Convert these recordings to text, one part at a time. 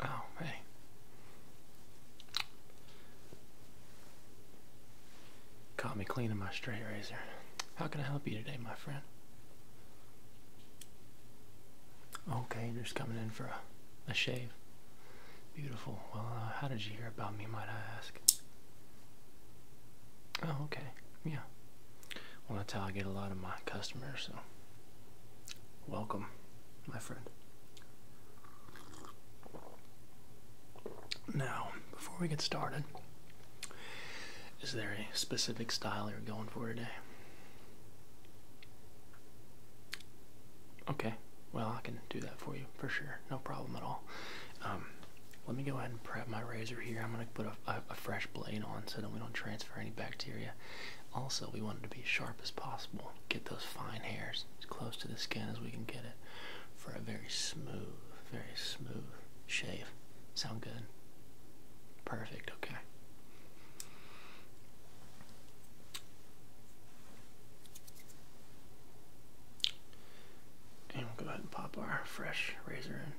Oh, hey. Caught me cleaning my straight razor. How can I help you today, my friend? Okay, just coming in for a, a shave. Beautiful. Well, uh, how did you hear about me, might I ask? Oh, okay. Yeah. Well, that's how I get a lot of my customers, so welcome, my friend. Now, before we get started, is there a specific style you're going for today? Okay, well, I can do that for you for sure. No problem at all. Um, let me go ahead and prep my razor here. I'm going to put a, fresh blade on so that we don't transfer any bacteria. Also, we want it to be sharp as possible. Get those fine hairs as close to the skin as we can get it for a very smooth, very smooth shave. Sound good? Perfect, okay. And we'll go ahead and pop our fresh razor in.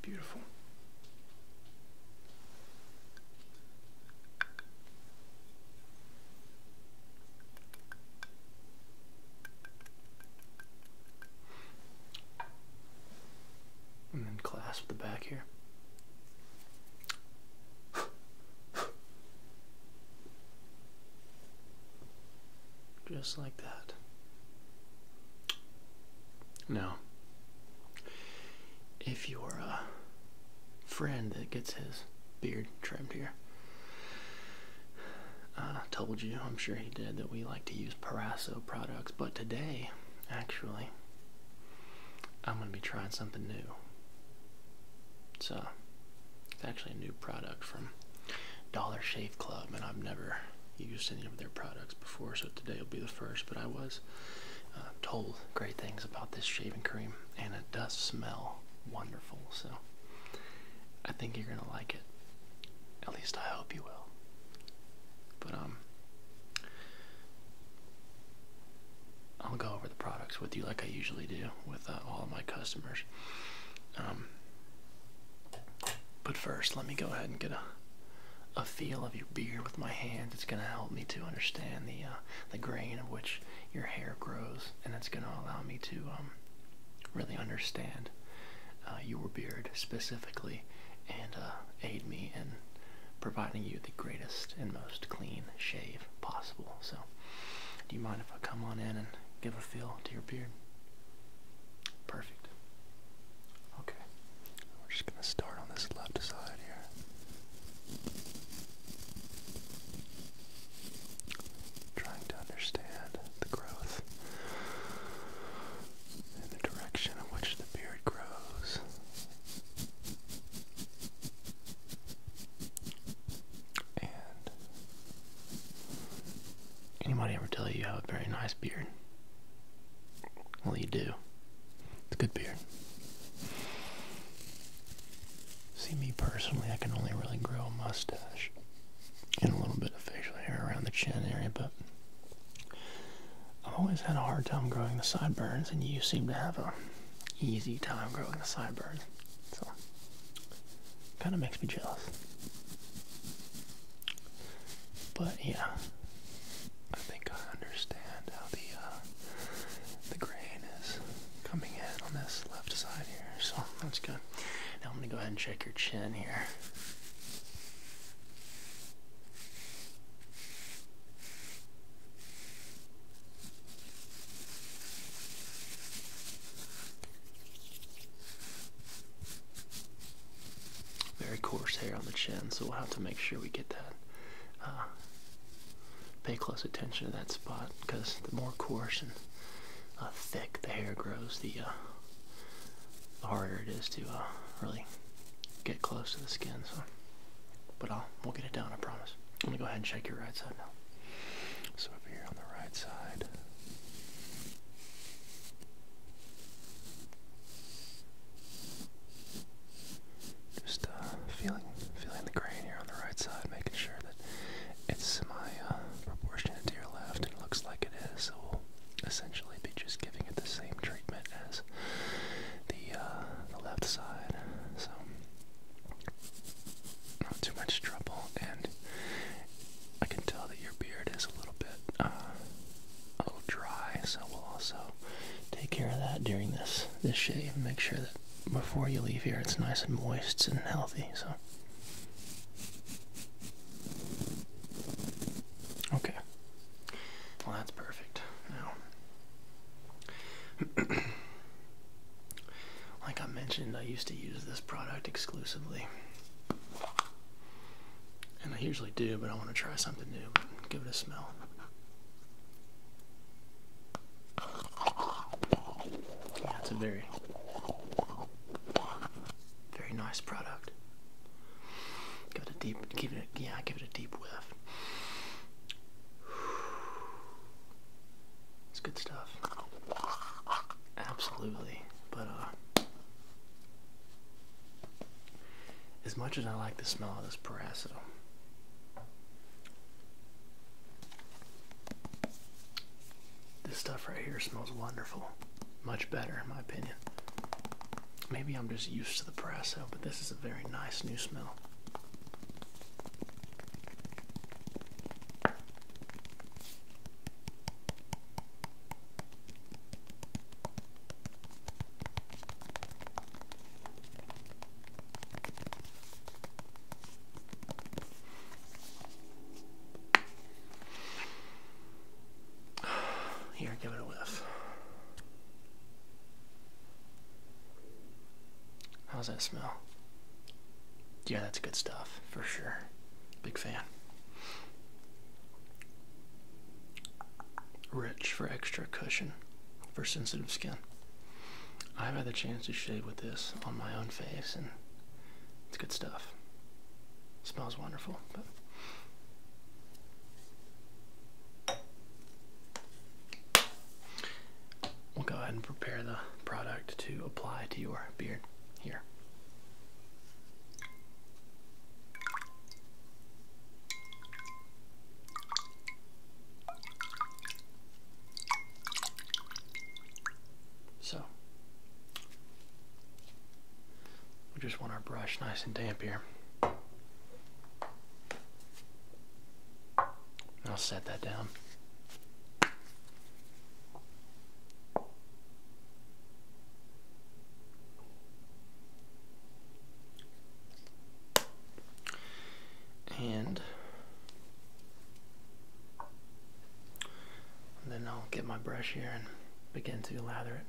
Beautiful. And then clasp the back here. Just like that. Now, if you're a friend that gets his beard trimmed here. I uh, told you, I'm sure he did, that we like to use Paraso products, but today, actually, I'm going to be trying something new. So, it's actually a new product from Dollar Shave Club, and I've never used any of their products before, so today will be the first, but I was uh, told great things about this shaving cream, and it does smell wonderful, so I think you're gonna like it. At least I hope you will. But, um, I'll go over the products with you like I usually do with uh, all of my customers. Um, but first, let me go ahead and get a a feel of your beard with my hands. It's gonna help me to understand the uh, the grain of which your hair grows, and it's gonna allow me to um, really understand uh, your beard specifically and uh, aid me in providing you the greatest and most clean shave possible. So, do you mind if I come on in and give a feel to your beard? Perfect. Okay, we're just going to start on this left side here trying to understand the growth and the direction in which the beard grows. And anybody ever tell you you have a very nice beard? Well, you do. It's a good beard. See me personally, I can only really grow a mustache and a little bit of facial hair around the chin area, but I've always had a hard time growing the sideburns, and you seem to have a easy time growing the sideburns. So, kind of makes me jealous. But yeah, I think I understand how the uh, the grain is coming in on this left side here, so that's good. Now I'm going to go ahead and check your chin here. Very coarse hair on the chin, so we'll have to make sure we get that. Uh, pay close attention to that spot because the more coarse and uh, thick the hair grows, the, uh, harder it is to uh, really get close to the skin. So, but I'll we'll get it down. I promise. I'm gonna go ahead and check your right side now. So over here on the right side. Just uh, feeling, feeling the grain here on the right side, making sure that it's semi-proportionate uh, to your left, and looks like it is, so we'll essentially be just giving it the same treatment as the, uh, the left side, so not too much trouble, and I can tell that your beard is a little bit, uh, a little dry, so we'll also take care of that during this, this shave, and make sure that before you leave here it's nice and moist and healthy, so Okay. Well, that's perfect. Now, like I mentioned, I used to use this product exclusively. And I usually do, but I want to try something new. Give it a smell. Yeah, it's a very very nice product. Give it a deep, give it, a, yeah, give it a deep whiff. It's good stuff. Absolutely, but uh, as much as I like the smell of this Parasso, this stuff right here smells wonderful. Much better, in my opinion. Maybe I'm just used to the Presso, but this is a very nice new smell. Here, give it a whiff. How's that smell? Yeah, that's good stuff for sure. Big fan. Rich for extra cushion for sensitive skin. I've had the chance to shave with this on my own face, and it's good stuff. Smells wonderful. But we'll go ahead and prepare the product to apply to your beard here. So, we just want our brush nice and damp here. I'll set that down. And then I'll get my brush here and begin to lather it.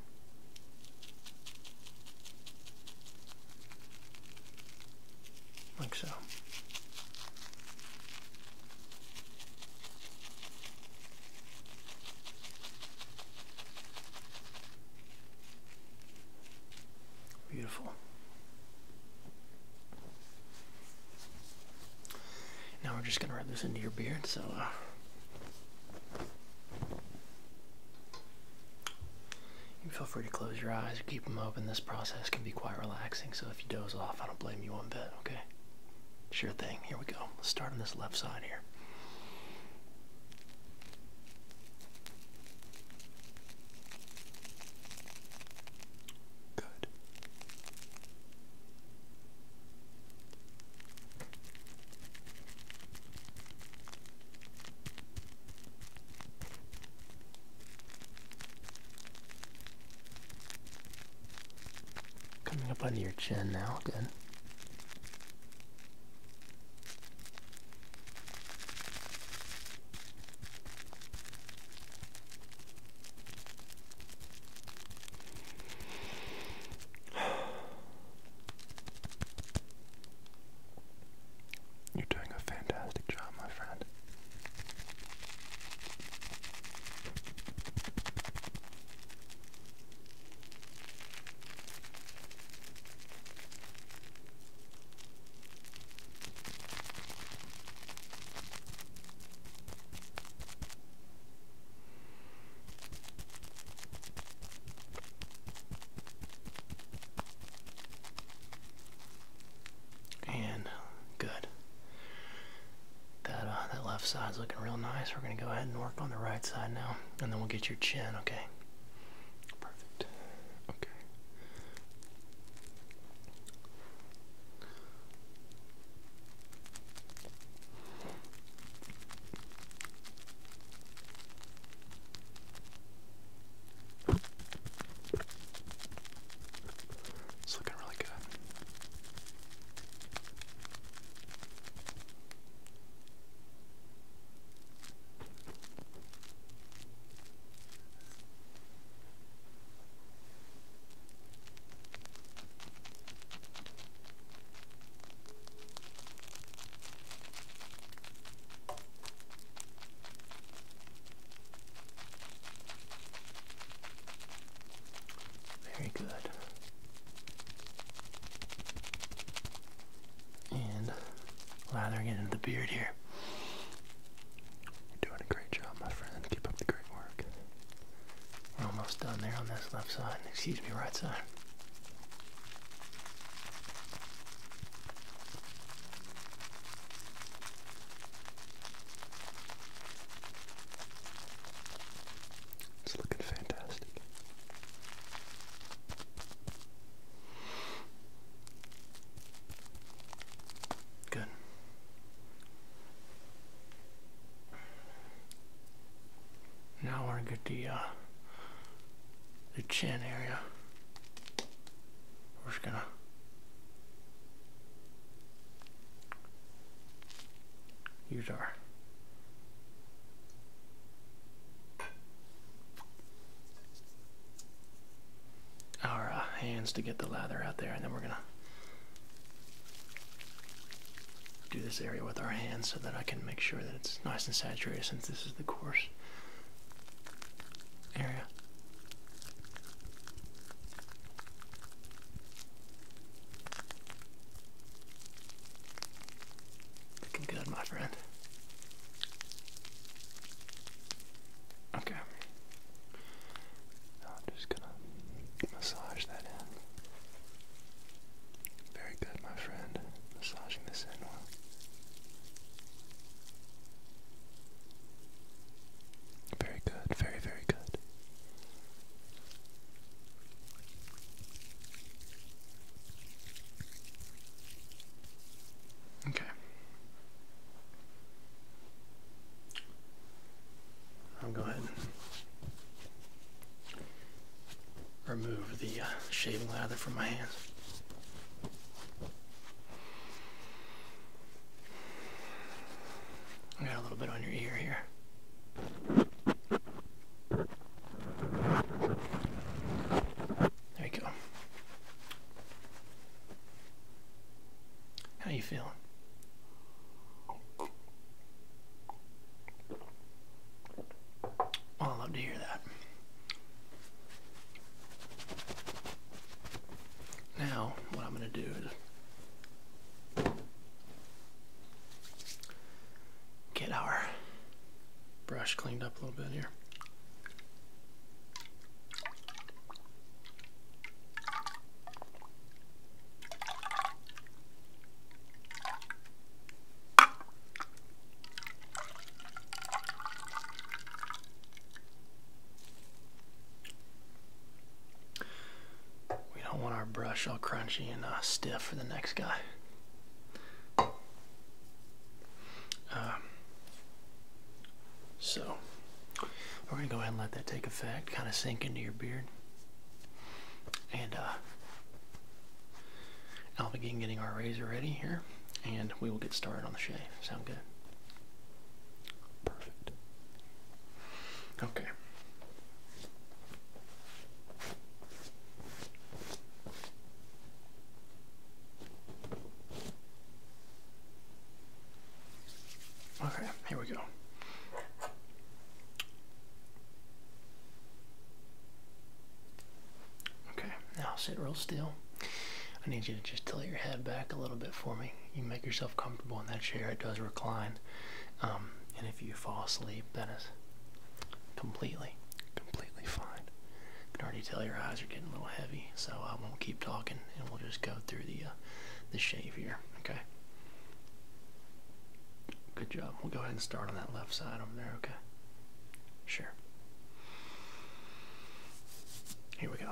Like so. Beautiful. Now we're just going to rub this into your beard. So, uh, you feel free to close your eyes or keep them open. This process can be quite relaxing. So, if you doze off, I don't blame you one bit, okay? Sure thing. Here we go. Let's start on this left side here. Good. Coming up under your chin now, good. You're doing a fantastic job, my friend. And good. That uh, that left side's looking real nice. We're gonna go ahead and work on the right side now, and then we'll get your chin. Okay. Perfect. Okay. It's looking really good. Very good. And lathering it into the beard here. You're doing a great job, my friend. Keep up the great work. We're almost done there on this left side, excuse me, right side. It's looking fantastic. Good. Now we're going to get the, uh, the chin area. We're just gonna use our our uh, hands to get the lather out there and then we're gonna do this area with our hands so that I can make sure that it's nice and saturated since this is the coarse area. Looking good, my friend. Okay. Now I'm just gonna massage that in. Very good, my friend. Massaging this in well. Very good, very, very good. Okay. I'll go ahead and remove the uh, shaving lather from my hands. I got a little bit on your ear here. There you go. How you feeling? I love to hear that. Now, what I'm going to do is get our brush cleaned up a little bit here. We don't want our brush all crunchy and uh, stiff for the next guy. Um, so, we're going to go ahead and let that take effect, kind of sink into your beard. And uh, I'll begin getting our razor ready here, and we will get started on the shave. Sound good? Perfect. Okay. Okay, here we go. Okay, now sit real still. I need you to just tilt your head back a little bit for me. You make yourself comfortable in that chair, it does recline. Um, and if you fall asleep, that is completely, completely fine. I can already tell your eyes are getting a little heavy, so I won't keep talking and we'll just go through the, uh, the shave here, okay? Good job. We'll go ahead and start on that left side over there, okay? Sure. Here we go.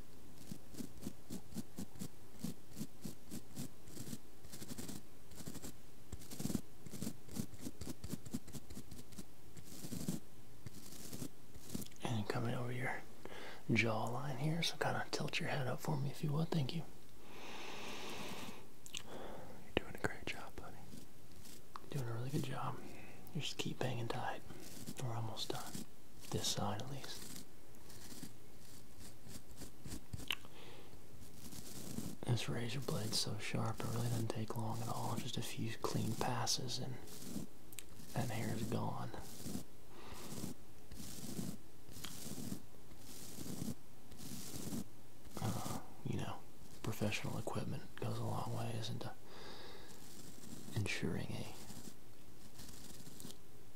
And coming over your jawline here, so kind of tilt your head up for me if you would. Thank you. You're doing a great job, buddy. doing a really good job. just keep hanging tight. We're almost done. This side, at least. This razor blade's so sharp, it really doesn't take long at all. Just a few clean passes, and that hair is gone. Uh, you know, professional equipment goes a long way in ensuring a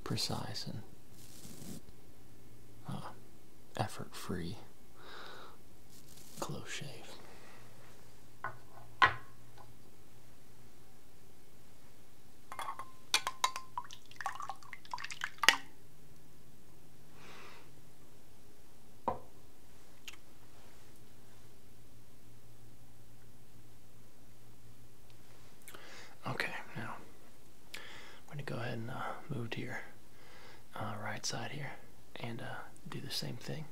precise and uh, effort free close shave. Okay, now I'm going to go ahead and uh, move to your uh, right side here and uh, do the same thing.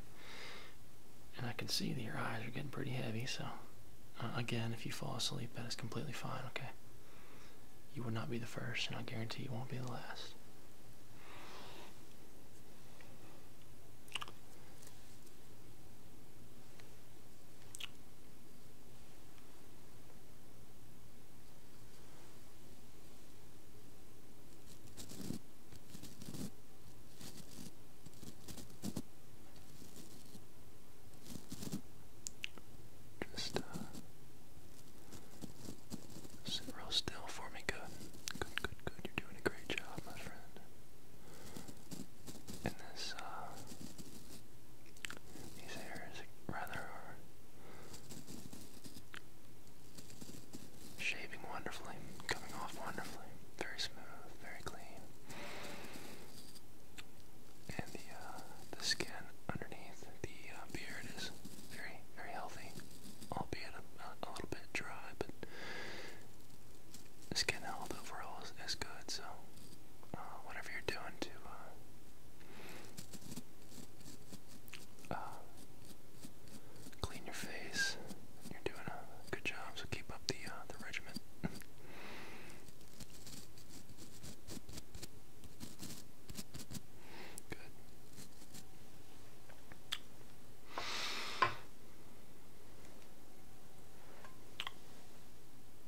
And I can see that your eyes are getting pretty heavy, so again, if you fall asleep, that is completely fine, okay? You will not be the first, and I guarantee you won't be the last. Just uh, sit real still for me. Good, good, good, good. You're doing a great job, my friend. And this uh, these hairs rather are shaving wonderfully, coming off wonderfully, very smooth, very clean. And the uh, the skin underneath the uh, beard is very, very healthy, albeit a, a little bit dry, but the skin health overall is, is good, so uh, whatever you're doing to uh, uh, clean your face. You're doing a good job, so keep up the uh, the regimen. Good.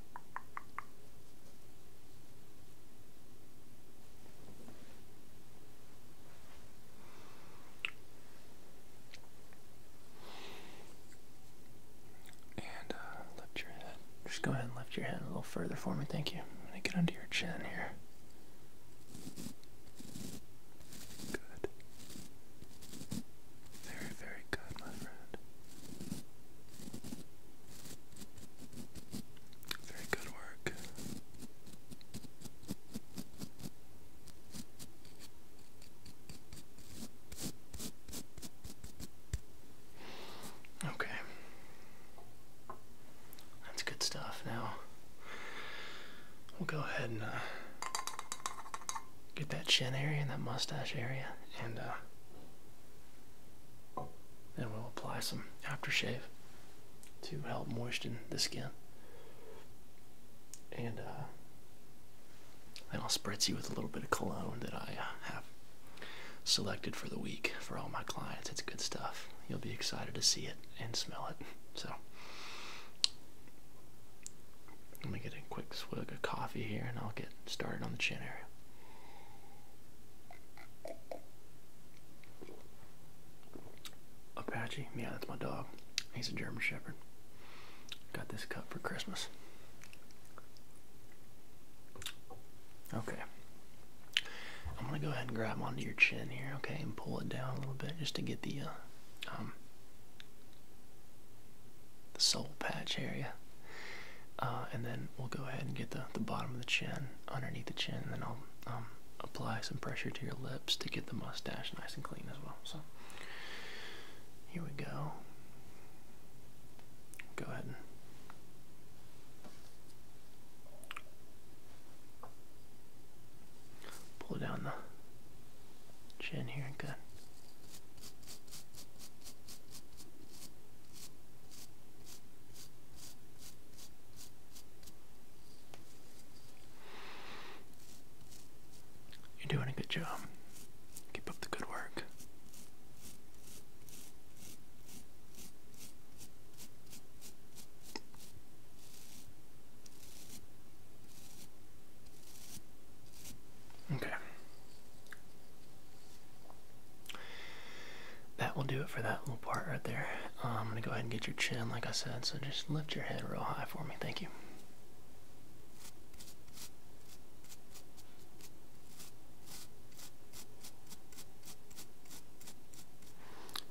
Uh, Just go ahead and lift your head a little further for me. Thank you. I'm going to get under your chin here. Good. Very, very good, my friend. Very good work. Okay. That's good stuff. Now, we'll go ahead and uh, get that chin area and that mustache area and uh, and we'll apply some aftershave to help moisten the skin. And uh, then I'll spritz you with a little bit of cologne that I uh, have selected for the week for all my clients. It's good stuff. You'll be excited to see it and smell it. So, let me get a quick swig of coffee here and I'll get started on the chin area. Apache, yeah, that's my dog. He's a German Shepherd. Got this cut for Christmas. Okay. I'm gonna go ahead and grab onto your chin here, okay, and pull it down a little bit just to get the uh, um, the soul patch area. Uh, and then we'll go ahead and get the, the bottom of the chin underneath the chin, and then I'll um, apply some pressure to your lips to get the mustache nice and clean as well. So here we go. Go ahead and pull down the chin here. Good. You're doing a good job. Keep up the good work. Okay. That will do it for that little part right there. Uh, I'm going to go ahead and get your chin, like I said, so just lift your head real high for me. Thank you.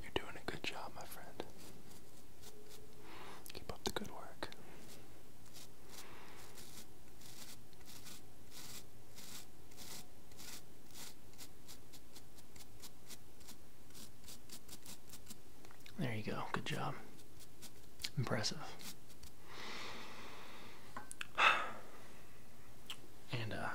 You're doing a good job, my friend. Keep up the good work. There you go. Good job. Impressive. And, uh,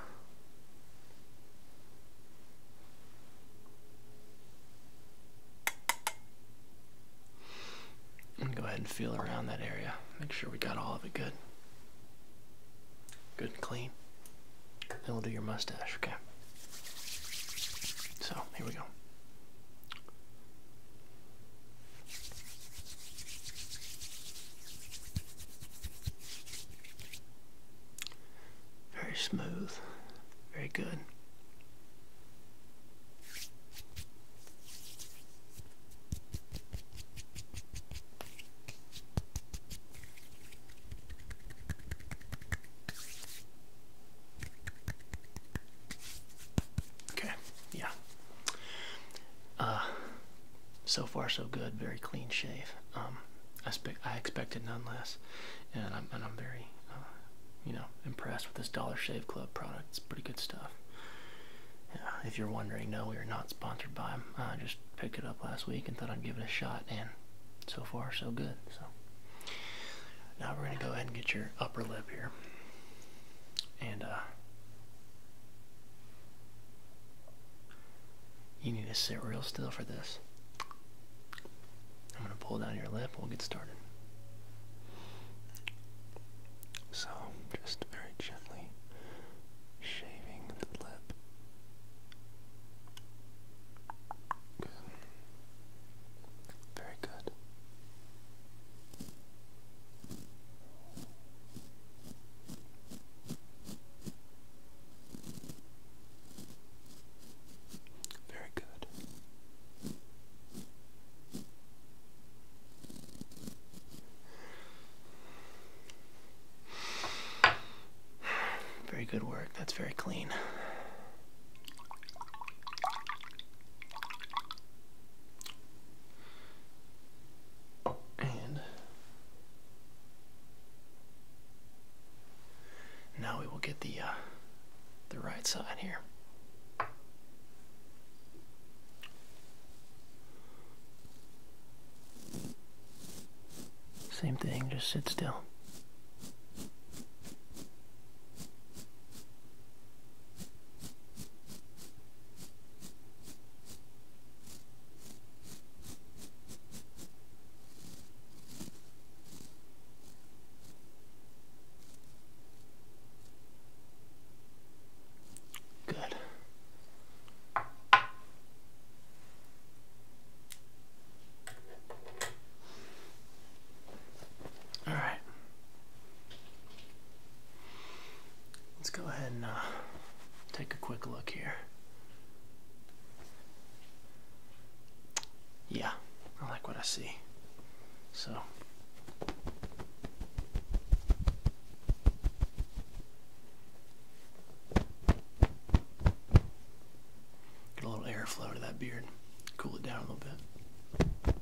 I'm gonna go ahead and feel around that area. Make sure we got all of it good good and clean. Then we'll do your mustache, okay? So, here we go. Very smooth, very good. Okay, yeah. Uh, so far, so good. Very clean shave. Um, I, I expected none less, and I'm and I'm very, uh, you know, impressed with this Dollar Shave Club product. It's pretty good stuff. Yeah, if you're wondering, no, we are not sponsored by them. Uh, just picked it up last week and thought I'd give it a shot, and so far so good. So now we're gonna go ahead and get your upper lip here, and uh, you need to sit real still for this. I'm gonna pull down your lip. We'll get started. So just very gently shaving the lip. Good. Very good. Very good. Very good work. That's very clean. And now we will get the uh, the right side here. Same thing, just sit still. Good. All right. Let's go ahead and uh, take a quick look here. Yeah, I like what I see. So Get a little airflow to that beard, cool it down a little bit.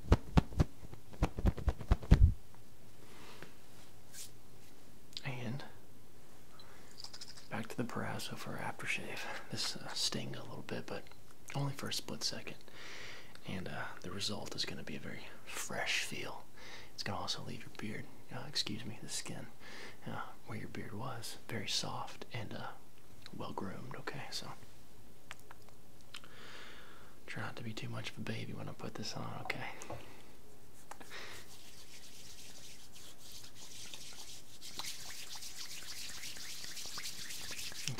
And back to the Parasso for aftershave. This uh, stings a little bit, but only for a split second. And uh, the result is going to be a very fresh feel it's going to also leave your beard, uh, excuse me, the skin uh, where your beard was very soft and uh, well groomed. Okay, so try not to be too much of a baby when I put this on. Okay.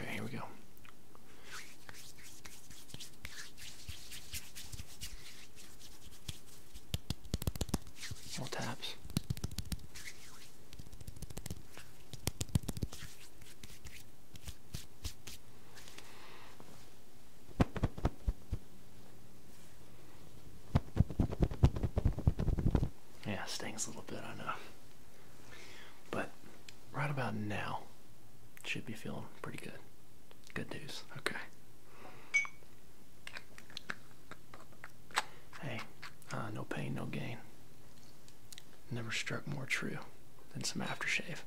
Okay, here we go. More taps. Yeah, stings a little bit, I know. But right about now, should be feeling pretty good. Good news. Okay. Hey, uh, no pain, no gain. Never struck more true than some aftershave.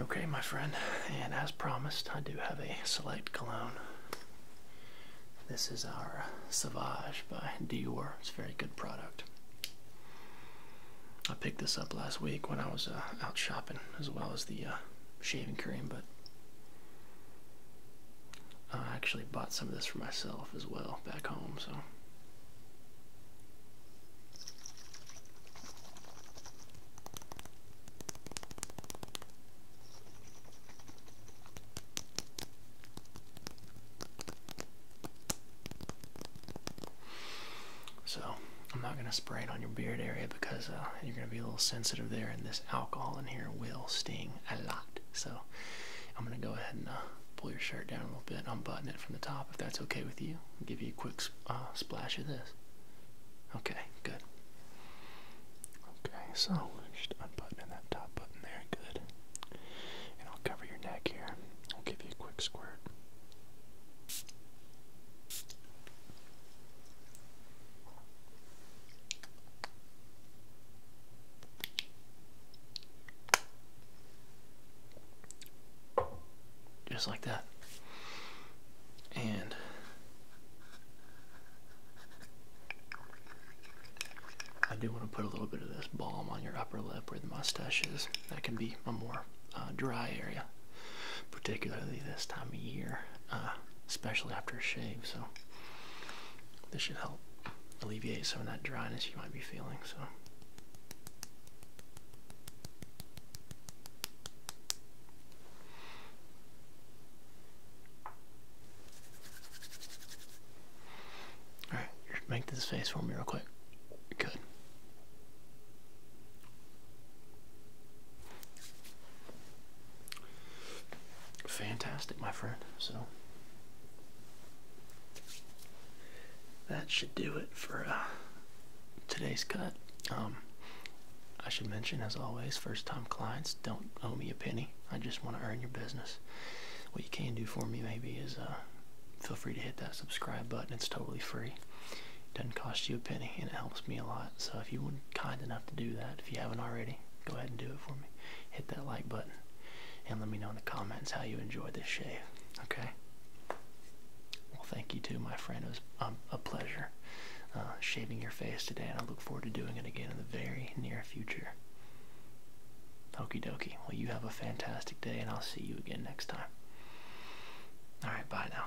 Okay, my friend, and as promised, I do have a select cologne. This is our uh, Sauvage by Dior. It's a very good product. I picked this up last week when I was uh, out shopping, as well as the shaving cream, but uh, I actually bought some of this for myself as well back home, so. So I'm not going to spray it on your beard area because uh, you're going to be a little sensitive there, and this alcohol in here will sting a lot. So I'm going to go ahead and uh, pull your shirt down a little bit, unbutton it from the top if that's okay with you. I'll give you a quick uh, splash of this. Okay, good. Okay, so we're just unbuttoning that top button there, good. And I'll cover your neck here. I'll give you a quick squirt. Just like that. And I do want to put a little bit of this balm on your upper lip where the mustache is. That can be a more uh, dry area particularly this time of year, uh, especially after a shave. So this should help alleviate some of that dryness you might be feeling. So. All right, make this face for me real quick. Good. Fantastic, my friend. So that should do it for uh, today's cut. Um, I should mention, as always, first-time clients don't owe me a penny. I just want to earn your business. What you can do for me maybe is uh, feel free to hit that subscribe button. It's totally free doesn't cost you a penny and it helps me a lot. So if you would kind enough to do that, if you haven't already, go ahead and do it for me. Hit that like button and let me know in the comments how you enjoyed this shave. Okay? Well, thank you too, my friend. It was um, a pleasure uh, shaving your face today, and I look forward to doing it again in the very near future. Okie dokie. Well, you have a fantastic day, and I'll see you again next time. Alright, bye now.